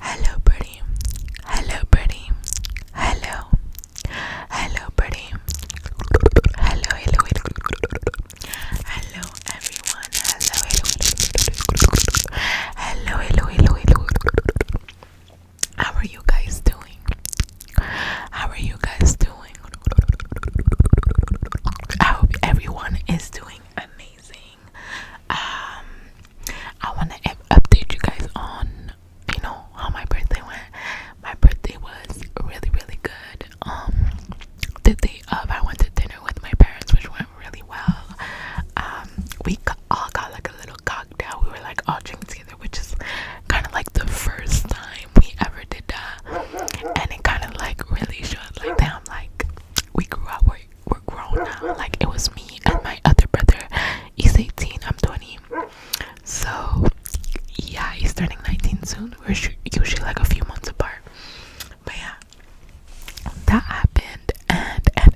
Hello, pretty. Hello, pretty. Hello. Hello, pretty. Hello, hello, hello. Hello, everyone. Hello, hello. Hello, hello, hello, hello. How are you guys doing? How are you guys doing? I hope everyone is doing amazing. Um, I want to update you guys on you know how my birthday went. My birthday was really really good. Um, the day of I went to dinner with my parents, which went really well. Um, we all got like a little cocktail. We were like all drinking together, which is kind of like the first time we ever did that, and it kind of like really showed like damn like we grew up. we we're grown now. Like it was me and my other brother. He's 18, I'm 20. So yeah, he's turning 19 soon. We're usually like a few months apart. But yeah, that happened, and and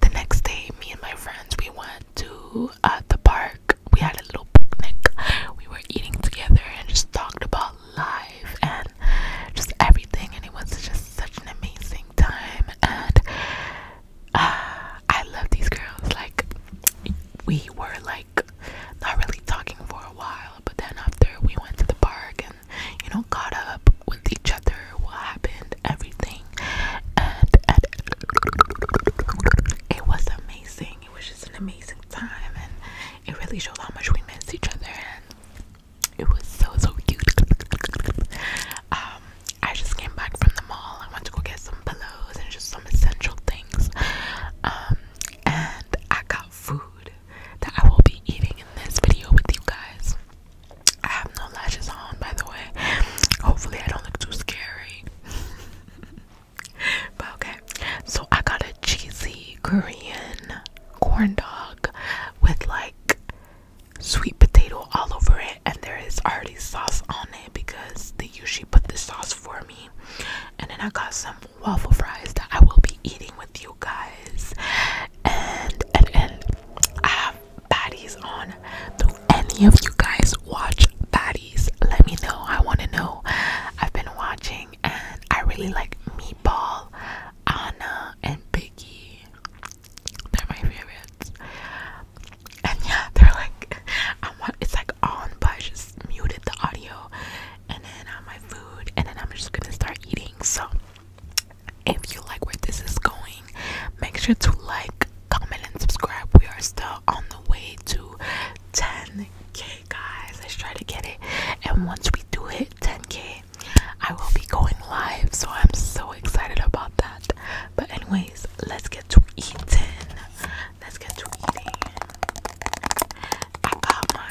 the next day, me and my friends we went to uh, the park. We had a little picnic. We were eating together and just talked about life and just everything. And it was just such an amazing time. And uh, I love these girls. Like, we were like not really talking for a while, but then after we went to the park and you know, caught up with each other, what happened, everything. And, it was amazing. It was just an amazing time, and it really showed how much we missed each other. It was so so cute. um, I just came back from the mall. I went to go get some pillows and just some essential things. Um, and I got food that I will be eating in this video with you guys. I have no lashes on, by the way. Hopefully, I don't look too scary. but okay, so I got a cheesy Korean corn dog with like sweet potato all over it, and there is already sauce on it because they usually put the sauce for me. And then I got some waffle fries that I will be eating with you guys. And and and I have baddies on. Do any of you guys watch baddies? Let me know. I want to know. I've been watching and I really like meatball. Anna and Biggie. They're my favorites. And yeah, they're like, I want it's like on, but I just muted the audio, and then on my food, and then I'm just gonna start eating. So, if you like where this is going, make sure to like, comment, and subscribe. We are still on the way to 10k, guys. Let's try to get it, and once we do hit 10k, I will be going live, so I'm so excited about that. But, anyways, let's get to eating. Let's get to eating. I got my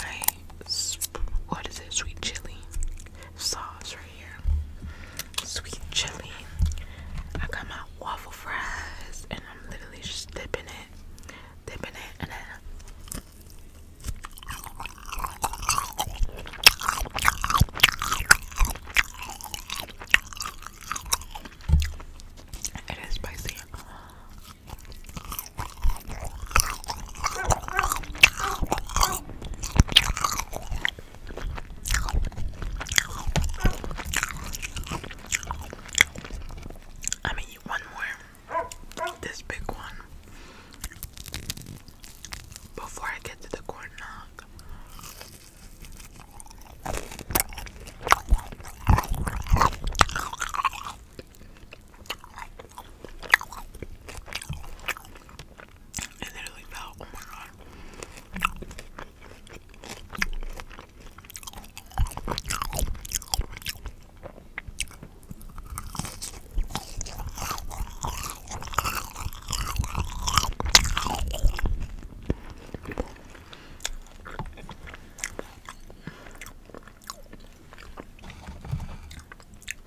what is it? Sweet chili sauce right here. Sweet chili. I got my waffle fries, and I'm literally just dipping it, dipping it, and then it is spicy. I mean, one more this big one before I get to the corn dog. It literally fell. Oh my god.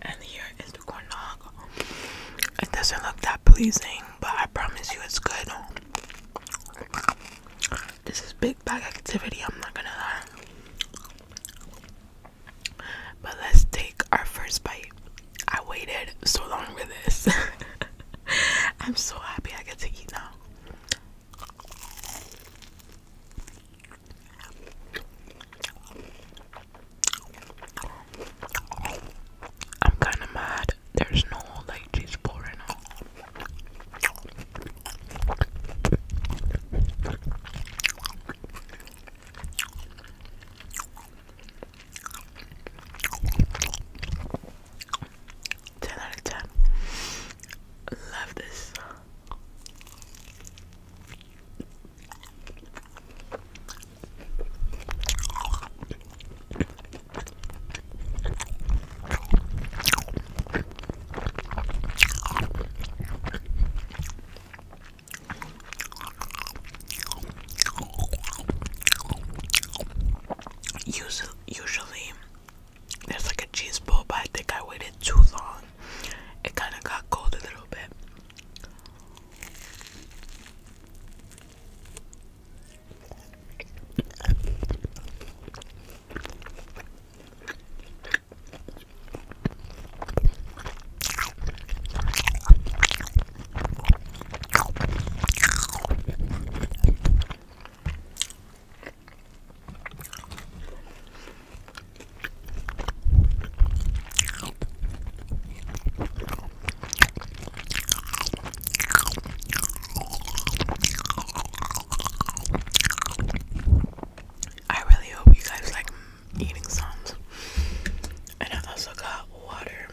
And here is the corn dog. It doesn't look that pleasing, but I promise you it's good. This is big bag activity, I'm not gonna lie. But let's take our first bite. I waited so long for this. I'm so happy I get to eat now. I'm kind of mad. There's no like cheese bowl right now. 10 out of 10. Love this. Usually, usually there's like a cheese ball, but I think I waited too long. It kind of got cold a little bit. I really hope you guys like eating sounds. And I also got water.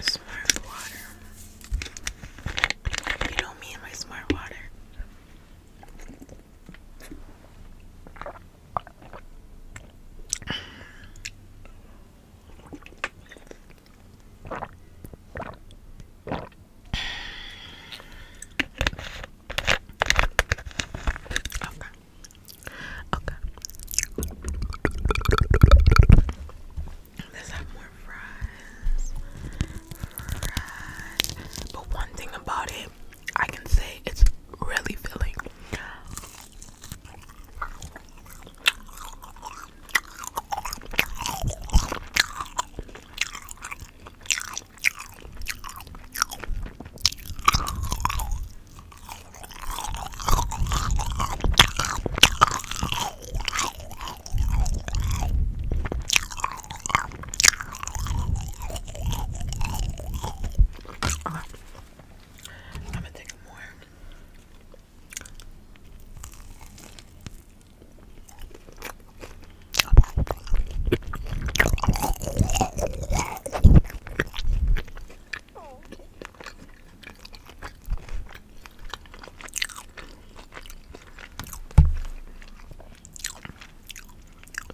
Smart water. You know me and my smart water. Okay. Okay. Let's have more fries. Fries. But one thing about it, I can say it's really filling. I'm gonna take more.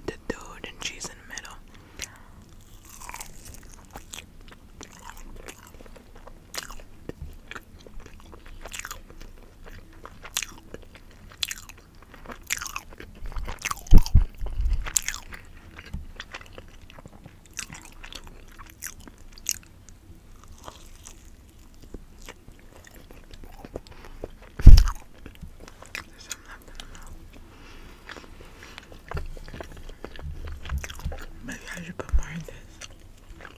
The dude and cheese in the middle. There's some left in the milk. Maybe I should put more in this.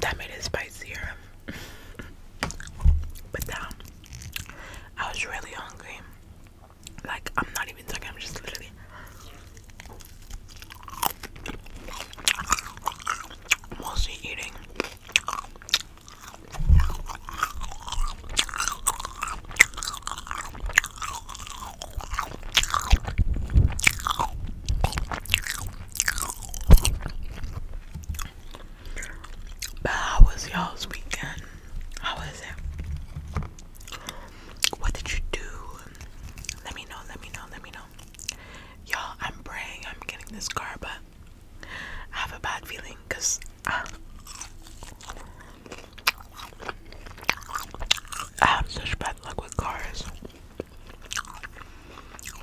That made it spicier. but damn, um, I was really hungry. Like, I'm not even talking, I'm just literally mostly eating how was y'all's weekend? How was it? What did you do? Let me know, let me know, let me know. Y'all, I'm praying I'm getting this car, but I have a bad feeling because uh, I have such bad luck with cars.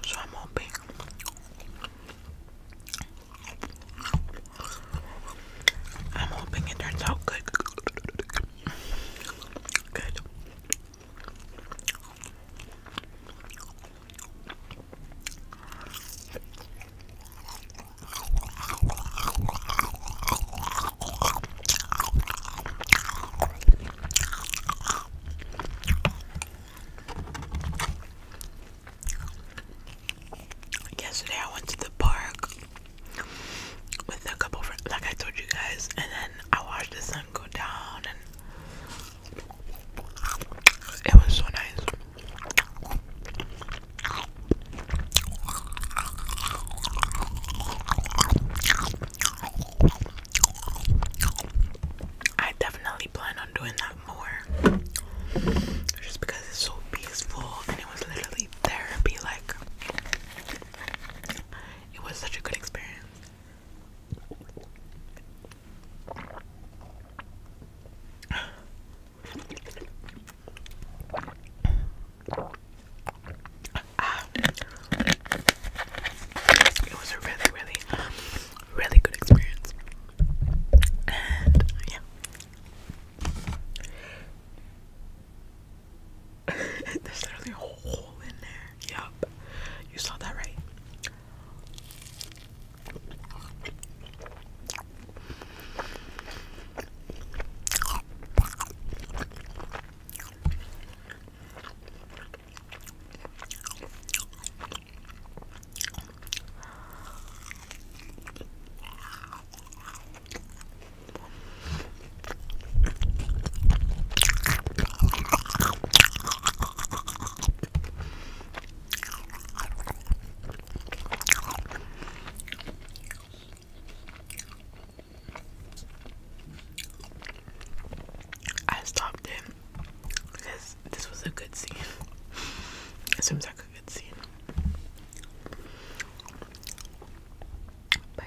So I'm hoping. I'm hoping it turns out good. Good. Yesterday I went to the park with a couple friends, like I told you guys, and then I watched the sun go down it was so nice. I definitely plan on doing that more just because it's so peaceful and it was literally therapy. Like, it was such a good experience. Ah. It was a really, really, really good experience. And yeah. There's literally a hole in there. Yup. You saw that right. I stopped it because this was a good scene. It seems like a good scene. But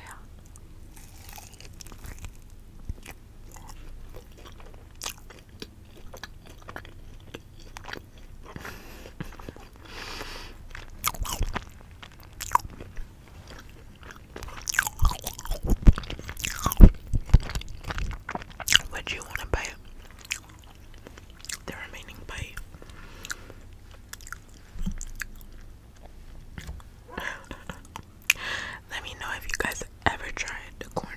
would you want to bite the remaining bite? Let me know if you guys ever tried the corn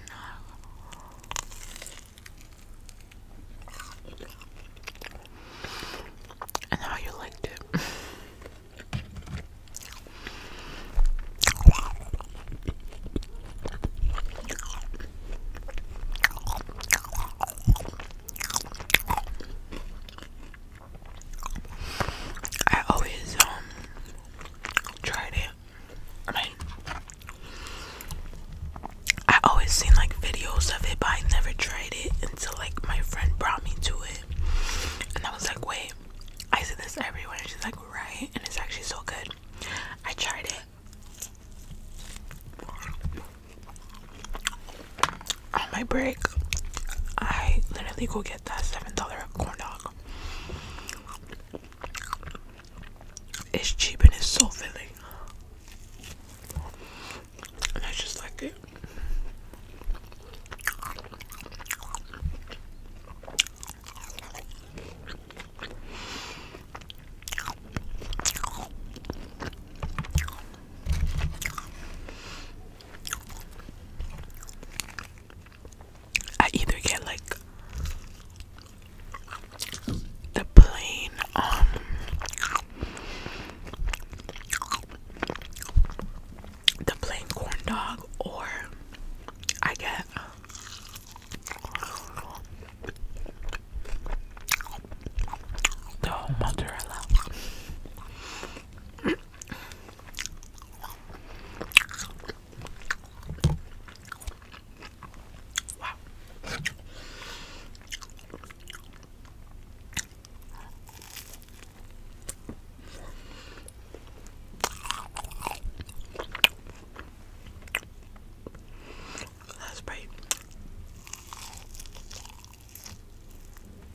dog and how you liked it. I always um tried it. I I always seen like videos of it, but I never tried it until like my friend brought me to it, and I was like, wait, I see this everywhere. And she's like, right, and it's actually so good. I tried it. On my break, I literally go get get that $7 corn dog. It's cheap and it's so filling. I just like it. I either get like the plain um the plain corn dog or I get the mozzarella. Wow. That's great.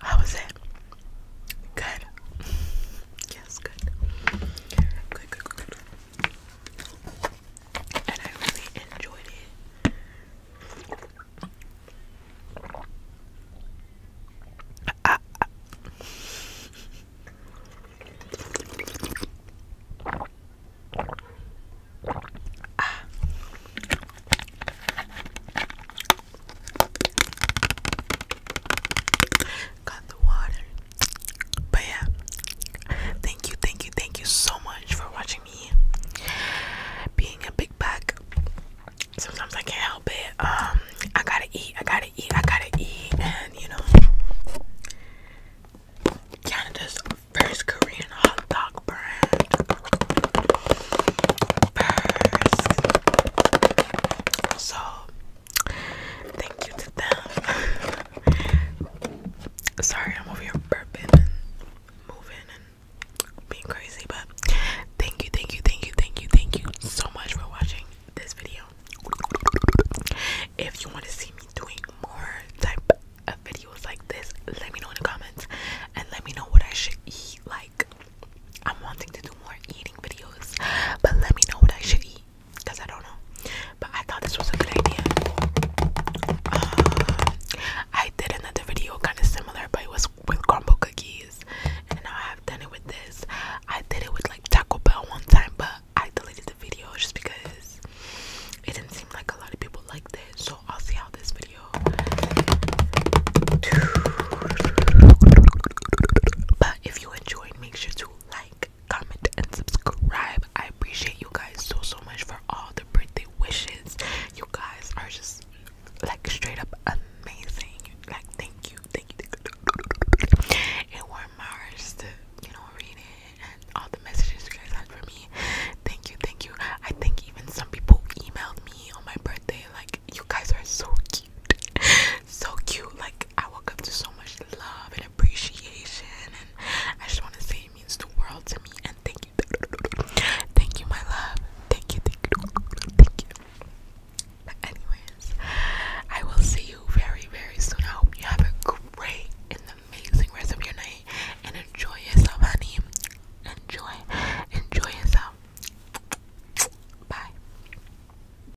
How was it? Good. yes, Good, good, good, good and I really enjoyed it. I, ah. ah. Got the water. But yeah, thank you, thank you, thank you so much for watching me being a big back. Sometimes I can't help it. Um, I gotta eat, I gotta eat, I gotta eat, and you know, Canada's first Korean hot dog brand. So Thank you to them. Sorry, I'm over here burping and moving and being crazy, but thank you, thank you, thank you, thank you, thank you so much for watching this video. If you want to see me doing more type of videos like this, let me know in the comments and let me know what I should eat. Like, I'm wanting to do more eating videos, but let me know what I should eat because I don't know. But I thought this was a good idea. Uh, I did another video kind of similar, but it was with crumble cookies, and now I have done it with this. I did it with like Taco Bell one time, but I deleted the video just because it didn't seem like a lot of people liked it. So I'll see how this video. But if you enjoyed, make sure to like, like, comment, and subscribe. I appreciate you guys so, so much for all the birthday wishes. You guys are just like straight up amazing. Like, thank you, thank you. It warmed my heart to, you know, read it and all the messages you guys had for me. Thank you, thank you. I think even some people emailed me on my birthday, like, you guys are so cute. So cute. Like I woke up to so much love and appreciation and I just wanna say it means the world to me and thank you. Thank you my love. Thank you, thank you, thank you. anyways, I will see you very, very soon. I hope you have a great and amazing rest of your night and enjoy yourself, honey. Enjoy, enjoy yourself. Bye.